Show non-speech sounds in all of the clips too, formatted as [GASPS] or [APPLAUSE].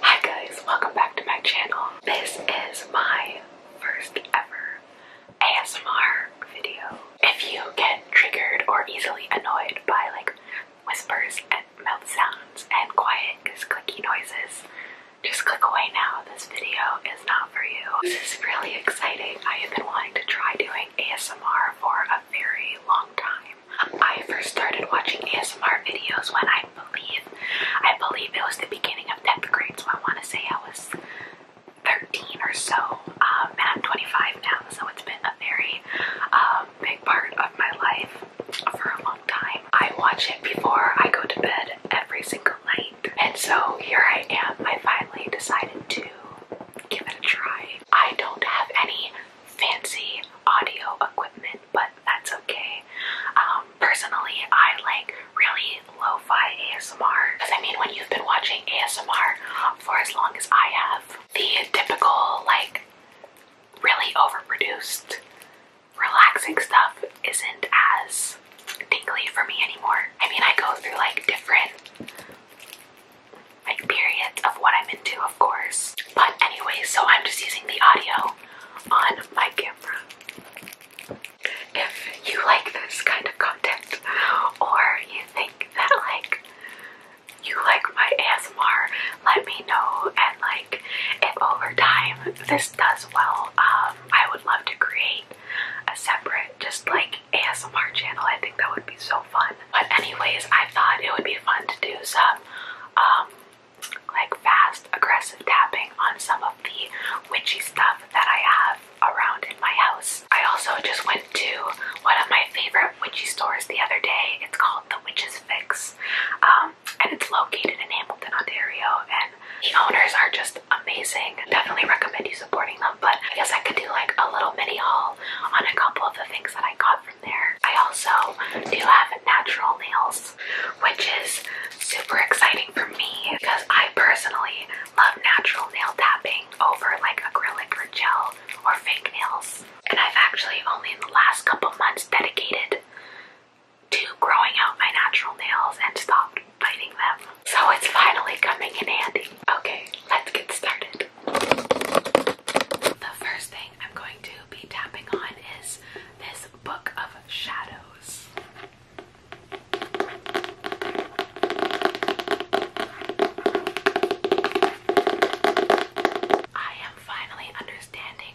Hi guys, welcome back to my channel. This is my first ever ASMR video. If you get triggered or easily annoyed by like whispers and mouth sounds and quiet just clicky noises, just click away now. This video is not for you. This is really exciting. I have been wanting to try doing ASMR for a very long time. I first started watching ASMR videos when I believe, I believe it was the beginning of 10th grade, so I want to say I was 13 or so, um, and I'm 25 now, so it's been a very um, big part of my life for a long time. I watch it before I go to bed every single night, and so here I am. I finally decided to give it a try. I don't have any fancy audio equipment but that's okay. Um, personally, I like really lo-fi ASMR. Because I mean, when you've been watching ASMR for as long as I have, the typical, like, really overproduced, relaxing stuff isn't as tingly for me anymore. I mean, I go through, like, different like periods of what I'm into, of course. But anyway, so I'm just using the audio on my camera. If you like this kind of content, or you think that like you like my ASMR, let me know. And like, if over time this does well, um, I would love to create a separate, just like ASMR channel. I think that would be so fun. But anyways, I thought it would be fun to do some um, like fast, aggressive tapping on some of the witchy stuff that I have around in my house. I also just went to one of my favorite witchy stores the other day. It's called The Witch's Fix, um, and it's located in Hamilton, Ontario. And the owners are just amazing. Definitely recommend you supporting them. But I guess I could do like a little mini haul on a couple of the things that I got from there. I also do have natural nails which is super exciting for me because I personally love natural nail tapping over like acrylic or gel or fake nails. And I've actually only in the last couple months dedicated to growing out my natural nails and stopped biting them. So it's finally coming in handy. Okay, let's get started. The first thing I'm going to be tapping on is this book of shadows. I am finally understanding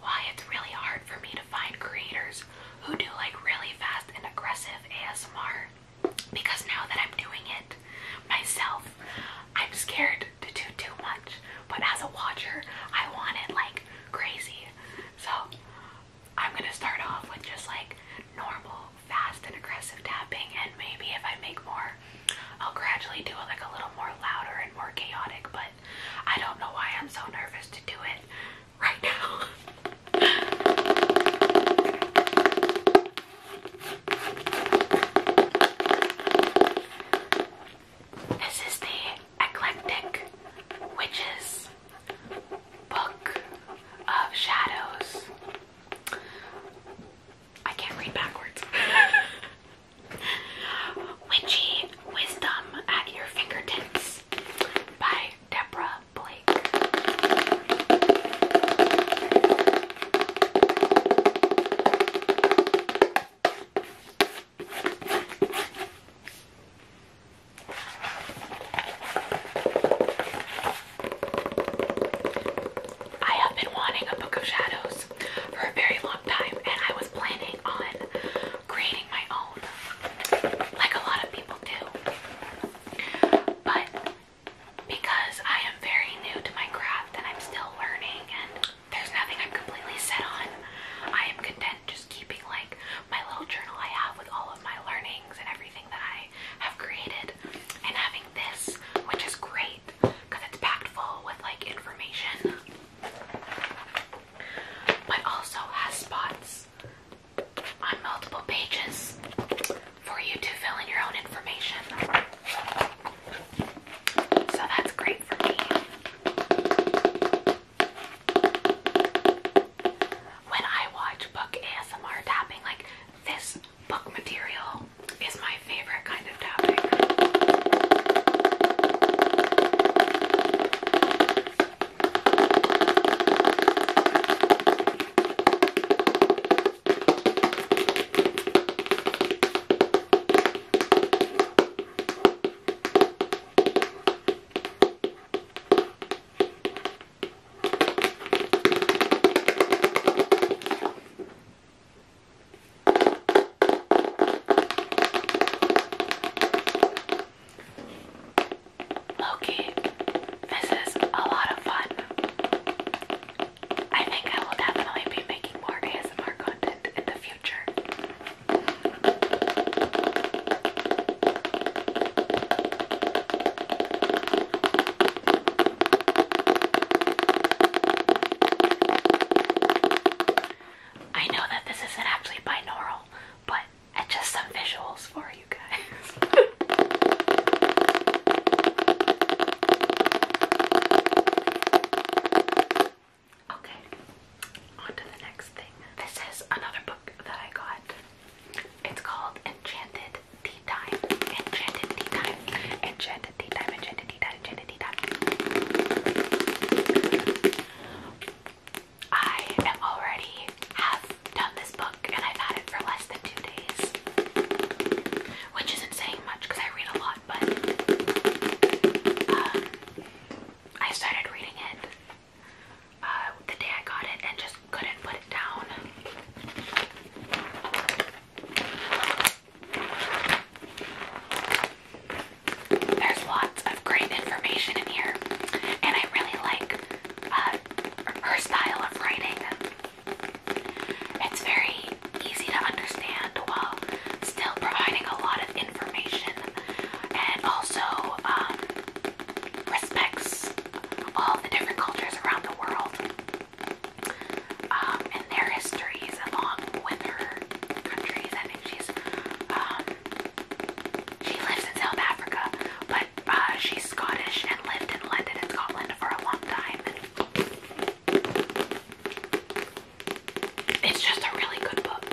why it's really hard for me to find creators who do like really fast and aggressive ASMR because now that I'm doing it myself, I'm scared to do too much, but as a watcher, I want it like crazy. So I'm gonna start off with just like normal, fast, and aggressive tapping, and maybe if I make more, I'll gradually do it like a little more louder and more chaotic, but I don't know why I'm so nervous to do it right now. [LAUGHS] This is the Eclectic Witches Book of Shadows. I can't read backwards. [LAUGHS] Witchy Wisdom at Your Fingertips by Deborah Blake. I have been wanting a book of shadows for a very long time, and I was planning on creating my own, like a lot of people do. But because I am very new to my craft and I'm still learning, and there's nothing I'm completely set on. I am content just keeping like my little journal I have with all of my learnings and everything that I have created and having this, which is great because it's packed full with like information but also has spots on multiple pages for you to fill in your own information. So that's great for me. When I watch book ASMR tapping, like this book material is my favorite kind of tapping. Loki, this is a lot of fun. I think I will definitely be making more ASMR in the future. I know that this isn't actually binaural, but just some visuals for you guys. [LAUGHS] Okay, on to the next thing. This is another book that I got. It's called Enchanted Tea Time. Enchanted Tea Time. Enchanted Tea Time. Enchanted Tea Time. Enchanted Tea Time. I am already have done this book and I've had it for less than two days which isn't saying much because I read a lot, but um, I started reading it uh, the day I got it and just couldn't put it down. There's lots of great information in here, and I really like uh, her style of writing. It's very easy to understand while still providing a lot of information and also um, respects all the different cultures around the world um, and their histories along with her countries. I think she's um, she lives in South Africa, but uh, she's Scottish and lived in London and Scotland for a long time. It's just a really good book.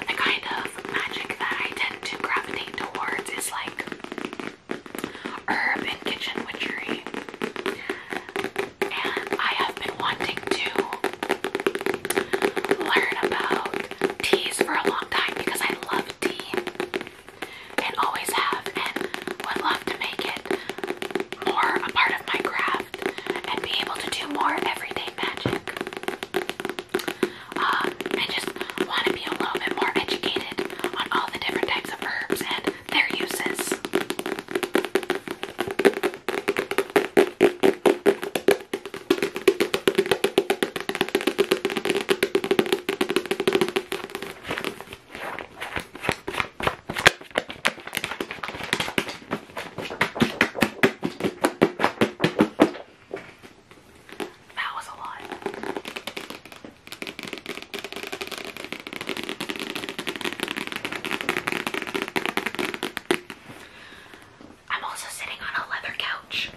the kind of magic that I tend to gravitate towards is like herb kitchen witchery. And I have been wanting to learn about teas for a long time because I love tea and always have, and would love to make it more a part of my craft and be able to do more everyday magic. I um, just want to be a little bit more educated on all the different types of herbs and their uses. That was a lot. I'm also sitting on a leather couch.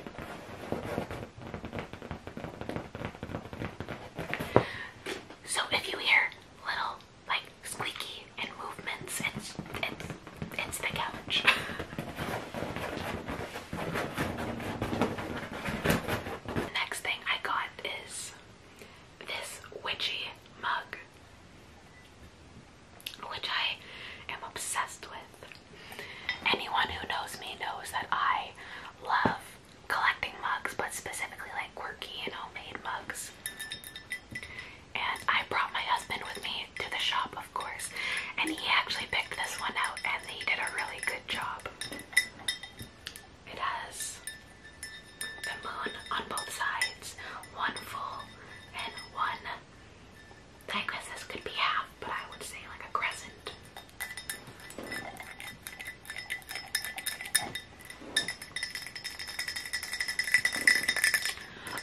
So if you hear little like squeaky and movements, it's it's it's the couch. the next thing I got is this witchy mug, which I am obsessed with. Anyone who knows me knows that I love collecting mugs, but specifically like quirky and homemade mugs. And I brought my husband with me to the shop, of course, and he actually picked this one out and he did a really good job. It has the moon on both sides, one full and one. I guess this could be half, but I would say like a crescent.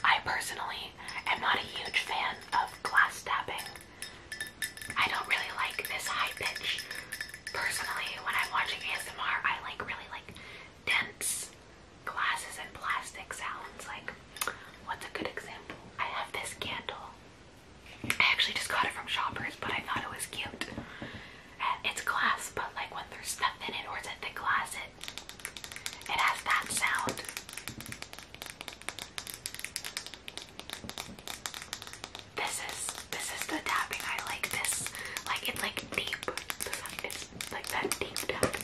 I personally am not a huge fan of glass tapping. I don't really like this high pitch. Personally, when I'm watching ASMR, I like really like dense glasses and plastic sounds. Like, what's a good example? I have this candle. I actually just got it from Shoppers, but I thought it was cute. Uh, it's glass, but like when there's stuff in it or it's a thick glass, it it has that sound. This is this is the tapping I like. This like it, like deep. This is like that deep tap.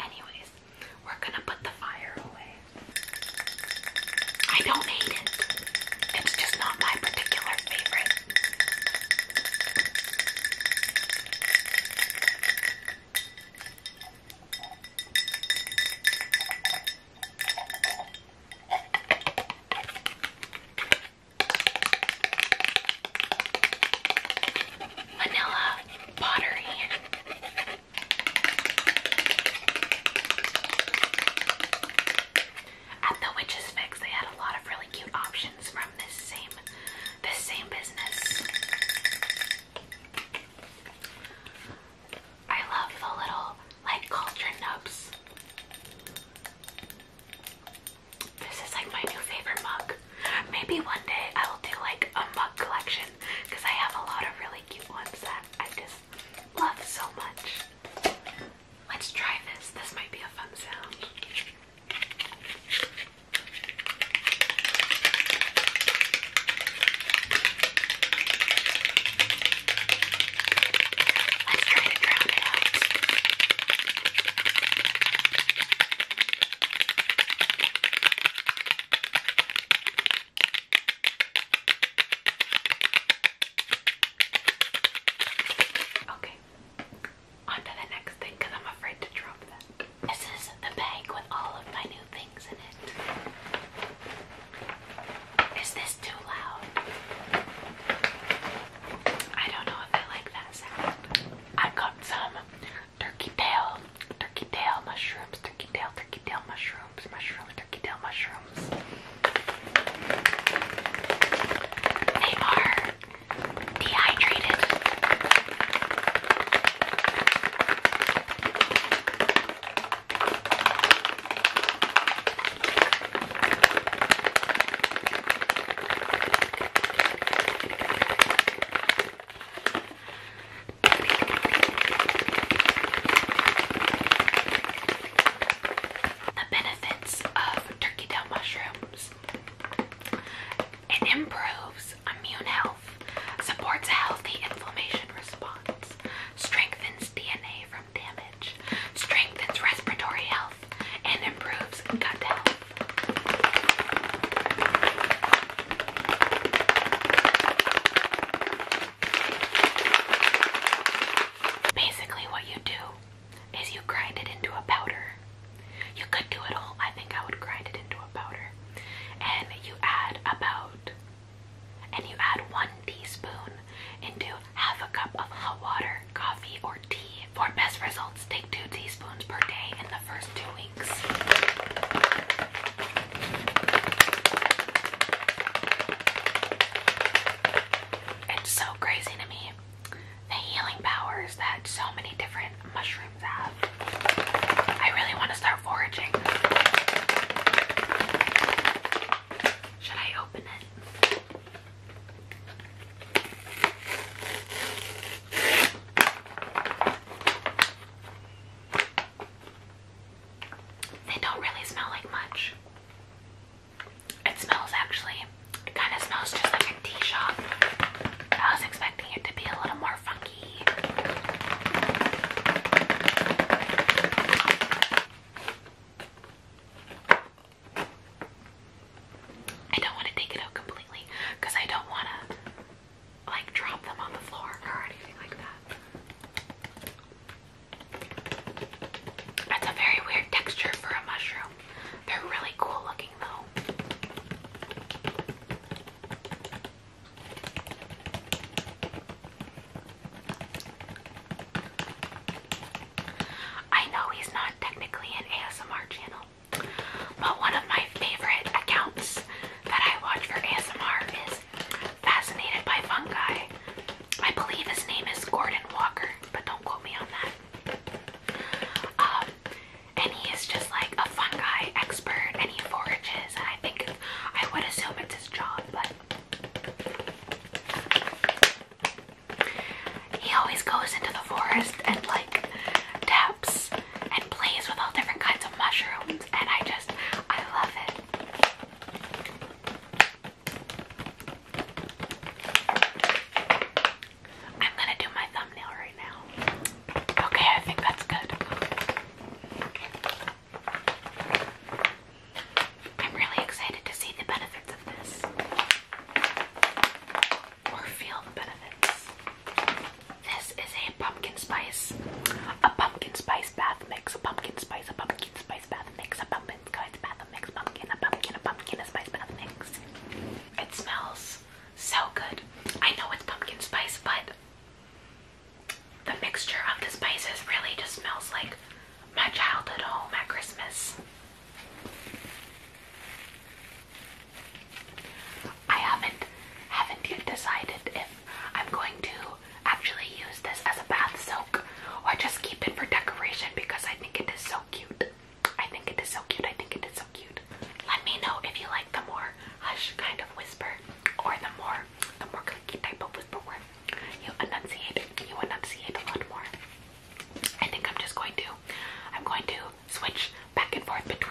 Anyways, we're gonna put the fire away. I don't hate it, it's just not my particular favorite. Vanilla pottery. At the Witches Fix, they had a lot of really cute options from this same this same business. I love the little like cauldron nubs. This is like my new favorite mug. Maybe one day I will do like a mug collection because I have a lot of really cute ones that I just love so much. Let's try this. This might be a fun sound. Let's try to drown it Okay, on the next thing I'm afraid to drop that. This is the bag with all of my new things in it. Is this too loud? I don't know if I like that sound. I got some turkey tail, turkey tail mushrooms, turkey tail, turkey tail mushrooms, mushroom, turkey tail mushrooms. They are dehydrated. The benefits of turkey tail mushrooms. It improves immune health supports a healthy inflammation response, strengthens DNA from damage, strengthens respiratory health, and improves gut health. Basically, what you do is you grind it into a powder. You could do it all, I think I would grind it into a powder. And you add about and you add one teaspoon into half a cup of hot water, coffee, or tea. For best results, take two teaspoons per day in the first two weeks. It's so crazy to me the healing powers that so many different mushrooms have. I really want should I open it? They don't really smell like much. It smells actually, it kind of smells just like a tea shop. I was expecting it to be a little more funky. I don't want to take it out completely because I don't want to like drop them on the floor or anything like that. That's a very weird texture for a mushroom. They're really cool looking though. I know he's not technically an ASMR channel, but one of my favorite accounts that I watch for ASMR is Fascinated by Fungi. I believe his name is Gordon Walker, but don't quote me on that. Um, and he is just like a fungi expert and he forages and I think I would assume it's his job, but he always goes into the forest and like taps and plays with all different kinds of mushrooms, and I just I love it. I'm gonna do my thumbnail right now. Okay, I think that's good. I'm really excited to see the benefits of this. Or feel the benefits. This is a pumpkin spice. A pumpkin spice bath mix. A pumpkin spice. A pumpkin spice bath mix. A pumpkin spice bath mix. Pumpkin. A pumpkin. A pumpkin. spice bath mix. It smells so good. I know it's pumpkin spice, but the mixture of the spices really just smells like my childhood home at Christmas. I haven't haven't yet decided if I'm going to actually use this as a bath soak or just keep it for decoration because I think it is so cute. I think it is so cute. I think it is so cute. Let me know if you like the more hush kind of whisper or the more the more clicky type of whisper you enunciate you enunciate a lot more. I think I'm just going to I'm going to switch back and forth between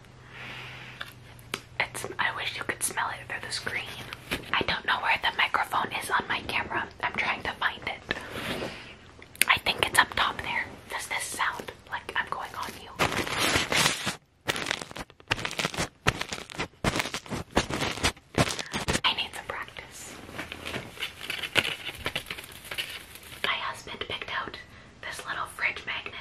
I wish you could smell it through the screen. I don't know where the microphone is on my camera. I'm trying to find it. I think it's up top there. Does this sound like I'm going on you? I need some practice. My husband picked out this little fridge magnet.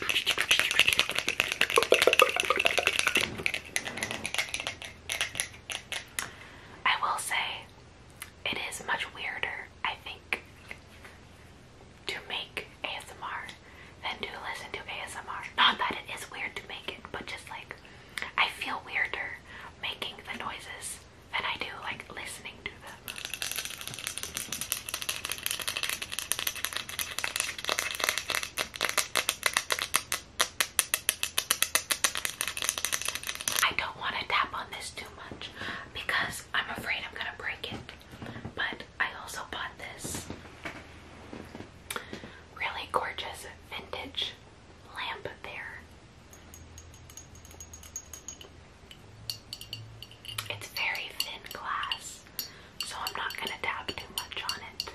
I will say it is much weirder, I think, to make ASMR than to listen to ASMR. Not that it is weird to make it, but just like I feel weirder making the noises than I do like listening to them. I don't want to tap on this too much because I'm afraid I'm going to break it. But I also bought this really gorgeous vintage lamp there. It's very thin glass, so I'm not going to dab too much on it.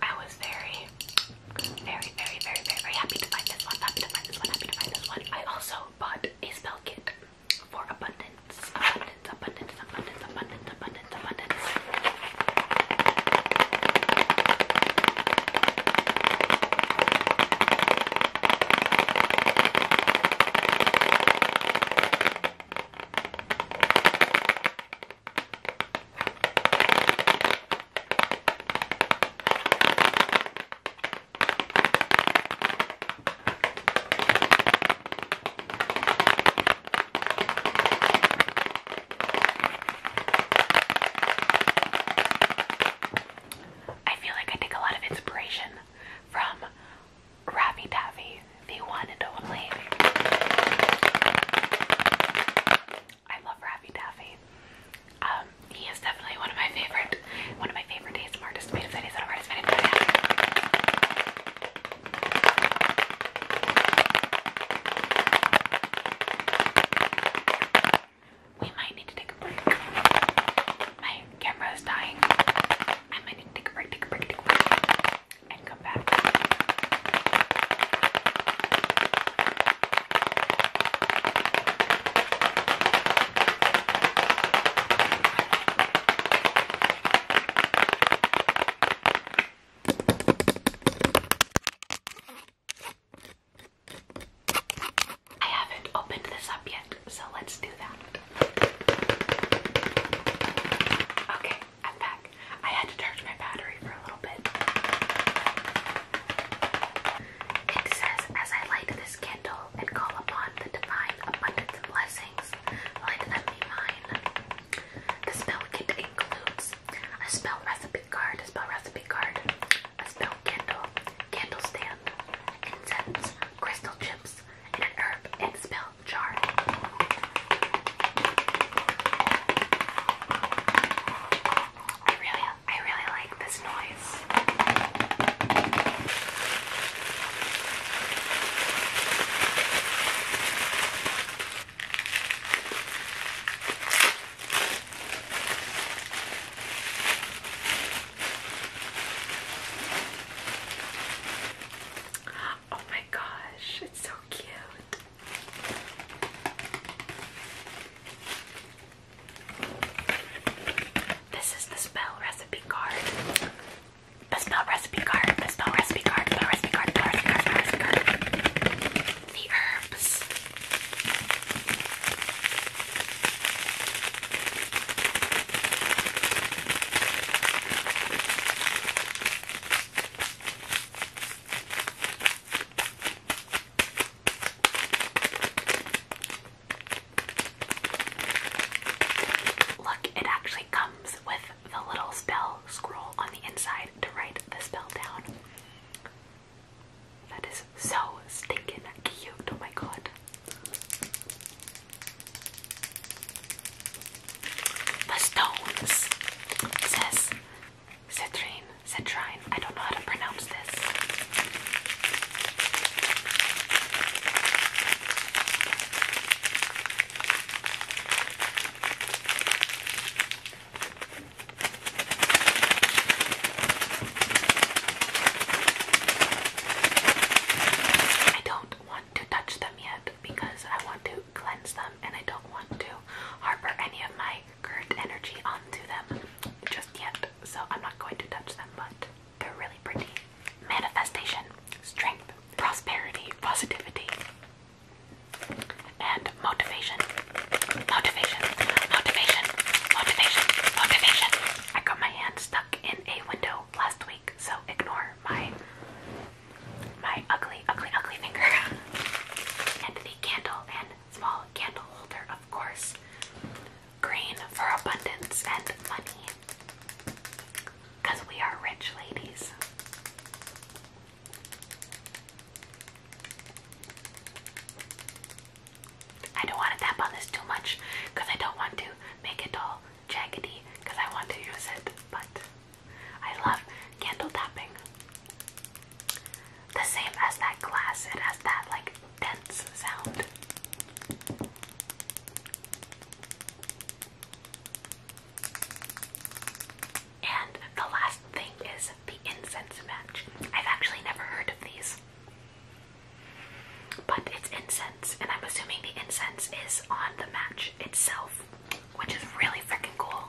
I was very, very, very, very, very, very happy to find this one. Happy to find this one. Happy to find this one. I also bought a spell kit for abundance, abundance, abundance, abundance, abundance, abundance, abundance. I feel like I take a lot of inspiration from Ravi Taffy, the one and only. I love Ravi Taffy. Um, he is definitely one of my favorite, one of my favorite ASMR artists. Made of that ASMR artist. We might need to take a break. My camera is dying. I might need to take a break, take a break, take a break, and come back. I haven't opened this up yet, so let's do that. Okay, I'm back. I had to charge my battery for a little bit. It says, as I light this candle and call upon the divine abundance blessings, like that'd mine. The spell kit includes a spell recipe card, a spell recipe card, a spell candle, candle stand, incense, crystal chips, and an herb and spell jar. I really I really like this noise. Oh my gosh, it's so cute. This is the spell recipe card. The spell recipe card, the spell recipe card, the recipe card, the recipe card, recipe card. The herbs. Look, it actually comes with the little spell scroll on the inside to write the spell down. That is so stinking cute. Oh my god. The stones. says citrine, citrine. I don't know how to pronounce this. I don't want to touch them yet because I want to cleanse them and I don't want to harbor any of my current energy onto them just yet. So I'm not going to touch them, but they're really pretty. Manifestation, strength, prosperity, positivity, and motivation. Motivation, motivation, motivation, motivation. I got my hand stuck in a window last week, so ignore my my ugly, ugly, ugly finger. [LAUGHS] and the candle and small candle holder, of course. Green for abundance and money. Because we are rich ladies. I don't want to tap on this too much because I don't want to make it all jaggedy because I want to use it, but I love candle tapping. The same as that glass, it has that like dense sound. And the last thing is the incense match. I've actually never heard of these. But it's incense, and I'm assuming the incense is on the match itself, which is really freaking cool.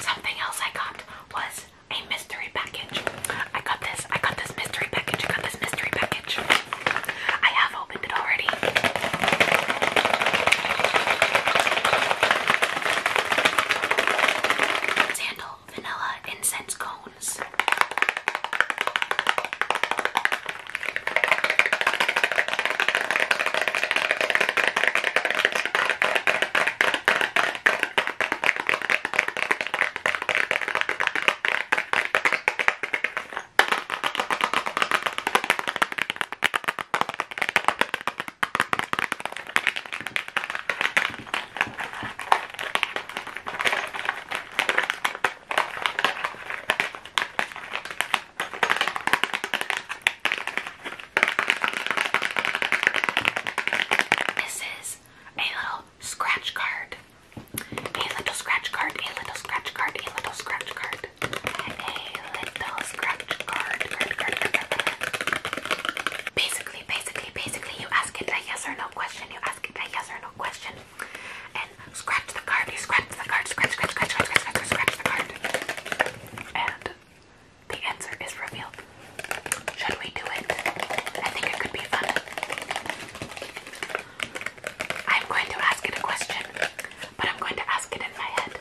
Something else I got was a mystery package. I got this this. I got this mystery package. I got this mystery package. I have opened it already. Sandal vanilla incense cones. This is a little scratch card a little scratch card, a little scratch card, a little scratch card. A little scratch card, card, card, card, card. Basically, basically, basically, you ask it a yes or no question. You ask it a yes or no question. And scratch the card, you scratch the card, scratch, scratch, scratch, scratch, scratch, scratch, scratch the card. And the answer is revealed. Should we do it? I think it could be fun. I'm going to ask it a question, but I'm going to ask it in my head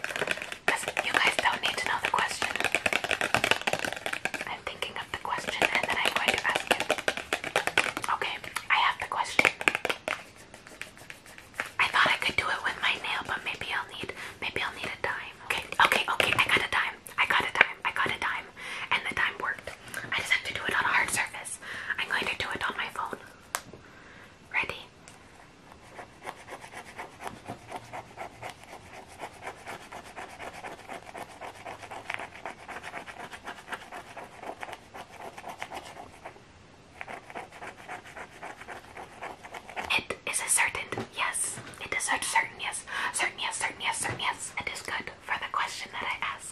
because you guys don't need to know the question. I'm thinking of the question and then I'm going to ask it. Okay, I have the question. I thought I could do it with my nail, but maybe I'll need maybe I'll need a dime. Okay, okay, okay, I got a dime. I got a dime. I got a dime. And the dime worked. I just have to do it on a hard surface. I'm going to do it on my phone. Ready? It is a certain yes. It is a certain yes. Certain yes, certain yes, certain yes. It is good for the question that I ask.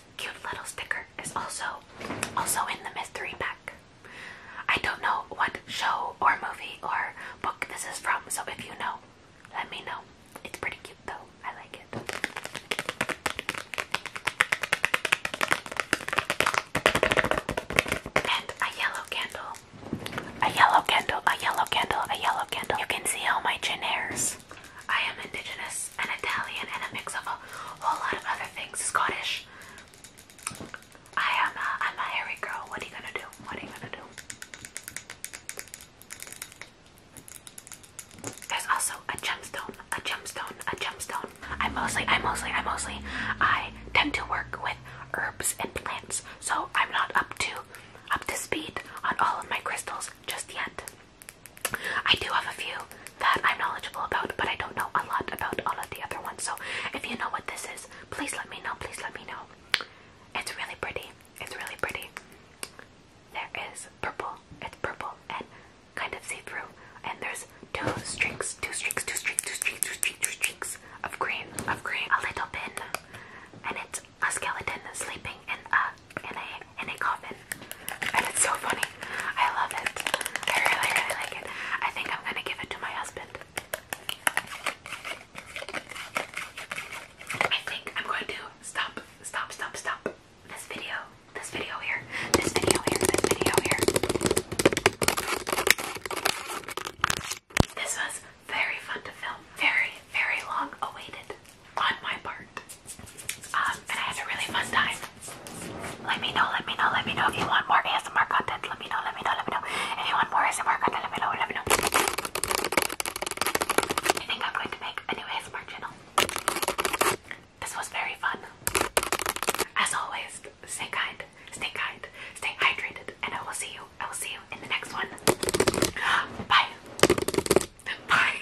cute little sticker is also also in the mystery pack. I don't know what show or movie or book this is from, so if you know, let me know. It's pretty cute though. I like it. And a yellow candle. A yellow candle, a yellow candle, a yellow candle. You can see all my chin hairs. I am indigenous Swiss and Italian and a mix of a whole lot of other things. Scottish. I am a, I'm a hairy girl. What are you gonna do? What are you gonna do? There's also a gemstone, a gemstone, a gemstone. I mostly, I mostly, I mostly, I tend to work with herbs and plants, so I'm not up to, up to speed on all of my crystals just yet. I do have a few that I'm knowledgeable about, but I don't know a lot about all of the other ones. So if you know what this is, please let me know. Please let me know. It's really pretty. It's really pretty. There is purple. It's purple and kind of see-through. And there's two streaks, two streaks, two streaks, two streaks, two streaks, two streaks of green, of green. A little pin, and it's a skeleton sleeping in a in a in a coffin. And it's so funny. I love it. I really, really like it. I think I'm gonna give it to my husband. I think I'm going to stop, stop, stop, stop this video. This video here. This video here. This video here. This was very fun to film. Very, very long awaited on my part. Um, I had a really fun time. Let me know, let me know, let me know if you want more ASMR content. Let me know, let me know, let me know. If you want more ASMR content, let me know, let me know. I think I'm going to make a new ASMR channel. This was very fun. As always, stay kind, stay kind, stay hydrated, and I will see you. I will see you in the next one. [GASPS] Bye. Bye.